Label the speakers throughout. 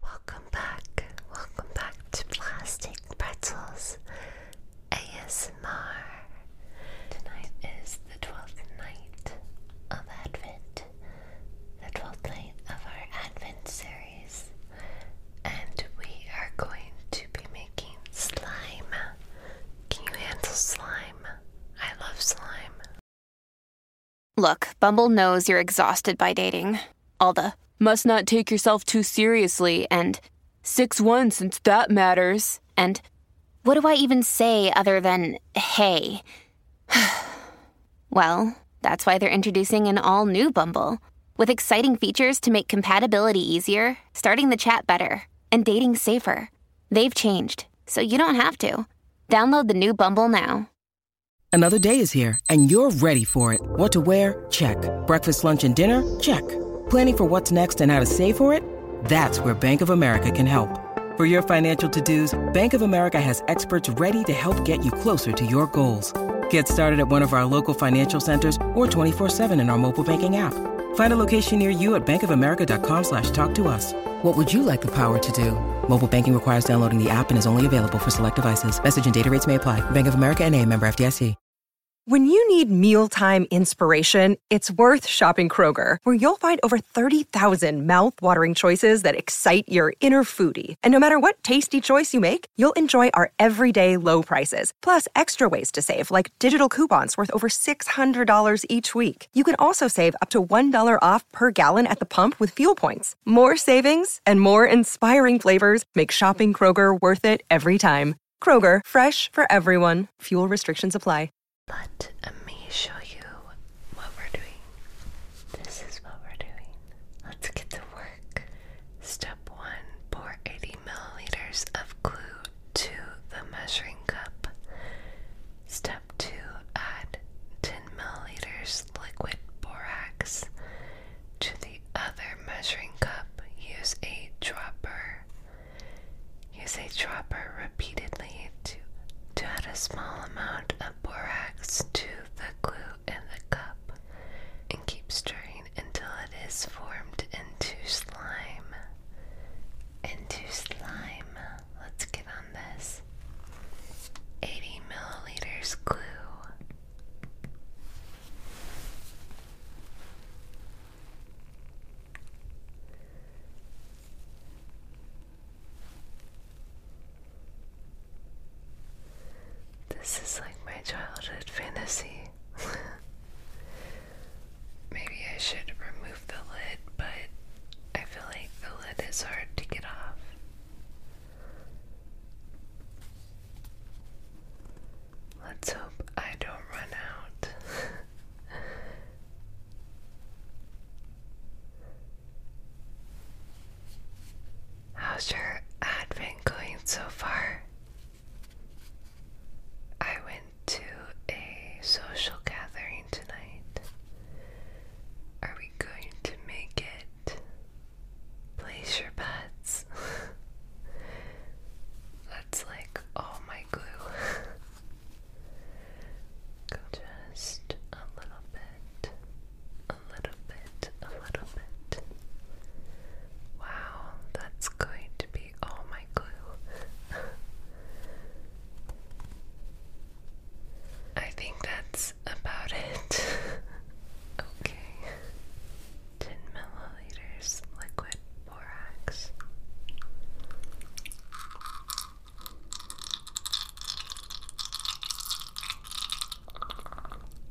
Speaker 1: Welcome back, welcome back to Plastic Pretzels ASMR. Tonight is the twelfth night of Advent, the twelfth night of our Advent series, and we are going to be making slime. Can you handle slime? I love slime. Look, Bumble knows you're exhausted by dating. All the must not take yourself too seriously and 6 1 since that matters. And what do I even say other than hey? well, that's why they're introducing an all new Bumble with exciting features to make compatibility easier, starting the chat better, and dating safer. They've changed, so you don't have to. Download the new Bumble now. Another day is here, and you're ready for it. What to wear? Check. Breakfast, lunch, and dinner? Check. Planning for what's next and how to save for it? That's where Bank of America can help. For your financial to-dos, Bank of America has experts ready to help get you closer to your goals. Get started at one of our local financial centers or 24-7 in our mobile banking app. Find a location near you at bankofamerica.com slash talk to us. What would you like the power to do? Mobile banking requires downloading the app and is only available for select devices. Message and data rates may apply. Bank of America and a member FDIC. When you need mealtime inspiration, it's worth shopping Kroger, where you'll find over 30,000 mouthwatering choices that excite your inner foodie. And no matter what tasty choice you make, you'll enjoy our everyday low prices, plus extra ways to save, like digital coupons worth over $600 each week. You can also save up to $1 off per gallon at the pump with fuel points. More savings and more inspiring flavors make shopping Kroger worth it every time. Kroger, fresh for everyone. Fuel restrictions apply. Let me show you what we're doing. This is what we're doing. Let's get to work. Step one pour 80 milliliters of glue to the measuring cup. Step to add 10 milliliters liquid borax to the other measuring cup. Use a dropper. Use a dropper repeatedly to, to add a small amount of borax to the glue in the cup and keep stirring until it is formed into slime. Into slime. Let's get on this. 80 milliliters glue. This is like my childhood fantasy. Maybe I should remove remove the but I feel like the lid is hard to get off. Let's hope I don't run out. How's your advent going so far? I went to a social gathering tonight. Are we going to make it? Place your bets. That's like all my glue. just a little bit, a little bit, a little bit. Wow, that's going to be all my glue. I think that's about it. okay. 10 milliliters liquid borax.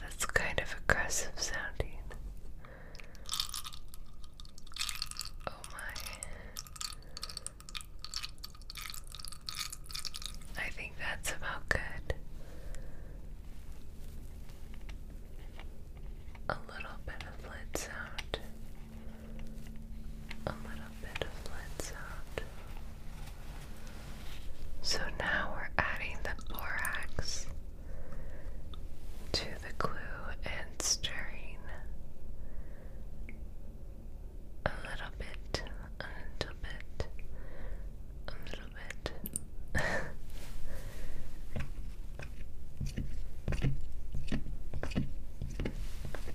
Speaker 1: That's kind of aggressive sounding. Oh my. I think that's about good. A little bit of lid sound. A little bit of lid sound. So now we're adding the borax to the glue and stirring a little bit, a little bit, a little bit.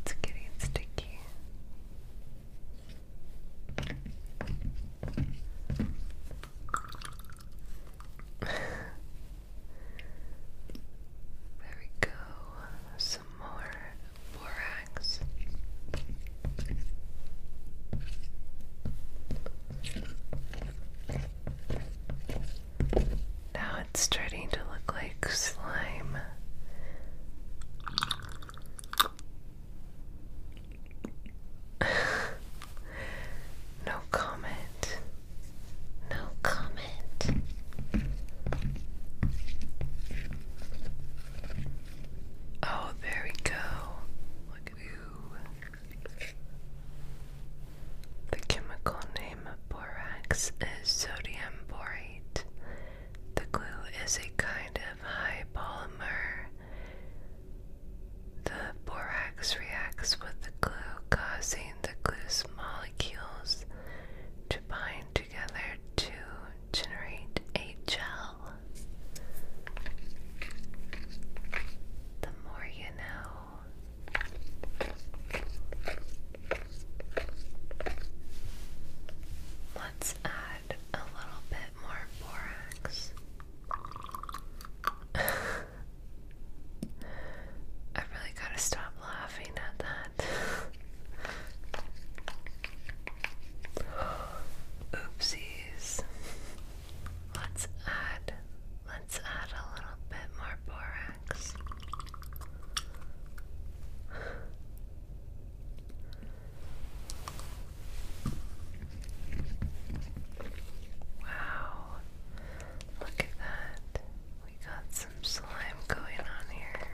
Speaker 1: it's getting sticky. There we go. Some more borax. Now it's starting to look like slime. No comment. No comment. Oh, there we go. The chemical name of borax is sodium borate. The glue is a kind of high polymer. The borax reacts with the glue, causing the glue's molecules to bind together to generate a gel. The more you know. Let's add a little bit more borax. I really gotta stop laughing at that. Oopsies. Let's add let's add a little bit more borax. Wow. Look at that. We got some slime going on here.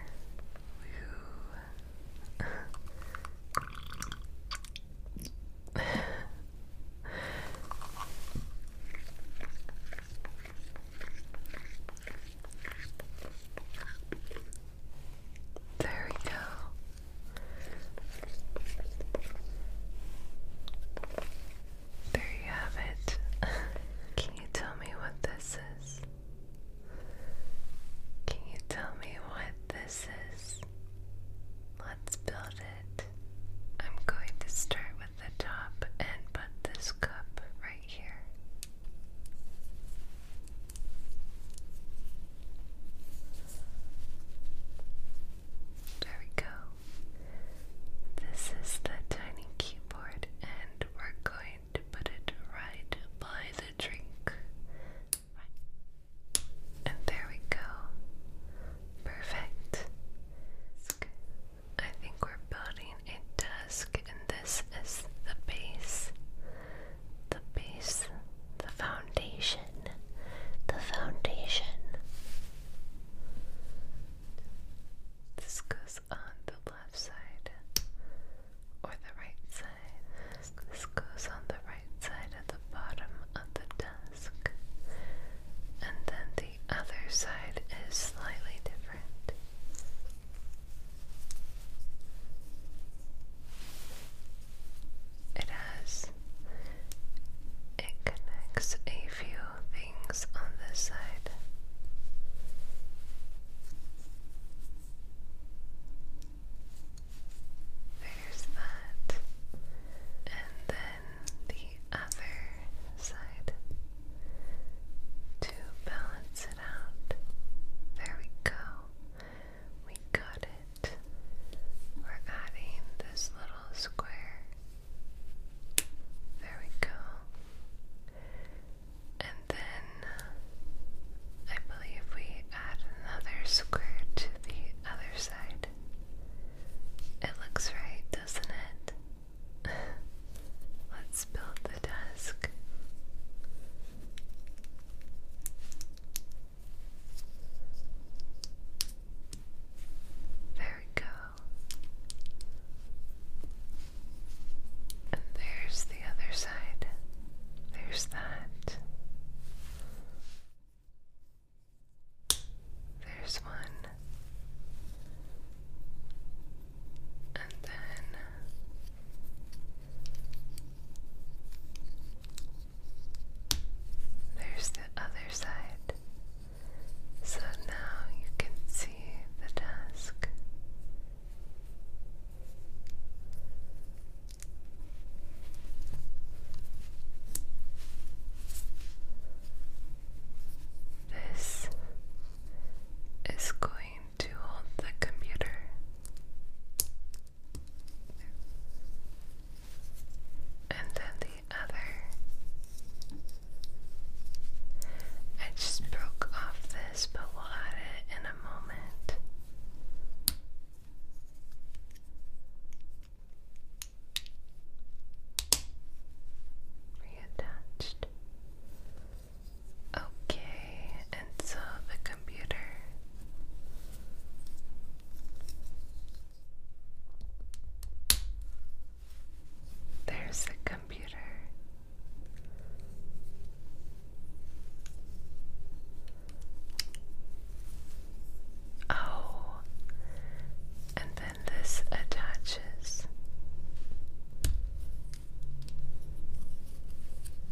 Speaker 1: There we go. There you have it. Can you tell me what this is? Can you tell me what this is? Let's build it. I'm going to start with the top and put this cup right here. There we go. This is the tiny keyboard, and we're going to put it right by the drink. And there we go. Perfect. I think we're building a desk, and this is the base. The base, the foundation the foundation. This goes on the left side or the right side. This goes on the right side at the bottom of the desk. And then the other side is slightly different. It has. It connects a few things on this side. There's that. And then the other side. To balance it out. There we go. We got it. We're adding this little square. There we go. And then uh, I believe we add another square to the other side. It looks right, doesn't it? Let's build the desk. There we go. And there's the other side. There's that. There's one. And then there's the other side. So now you can see the task. This is going to hold the computer and then the other. I just broke off this, but we'll add it in a moment. Reattached. Okay into the computer. There's the computer. Oh, and then this attaches.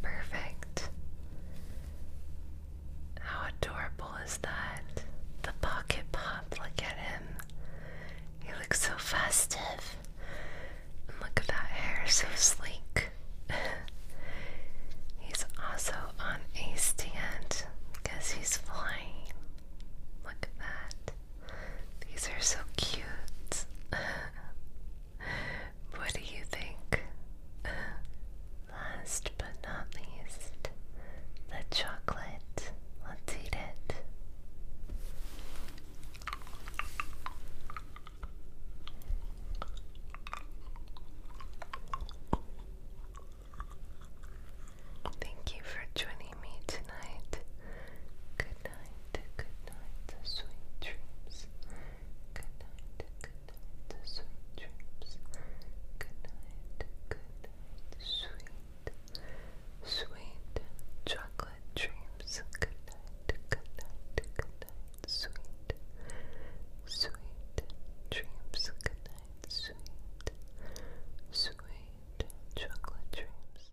Speaker 1: Perfect. How adorable is that? The pocket pop, look at him. He looks so festive. And look at that hair, so sleek. he's also on a stand because he's flying. Look at that. These are so cute. What do you think? Last but not least, the chocolate. Let's eat it. Thank you for joining me tonight. Good night, good night, sweet dreams. Good night, sweet dreams. Good night, sweet, sweet chocolate dreams. Good night, good sweet, sweet dreams. Good sweet, sweet chocolate dreams.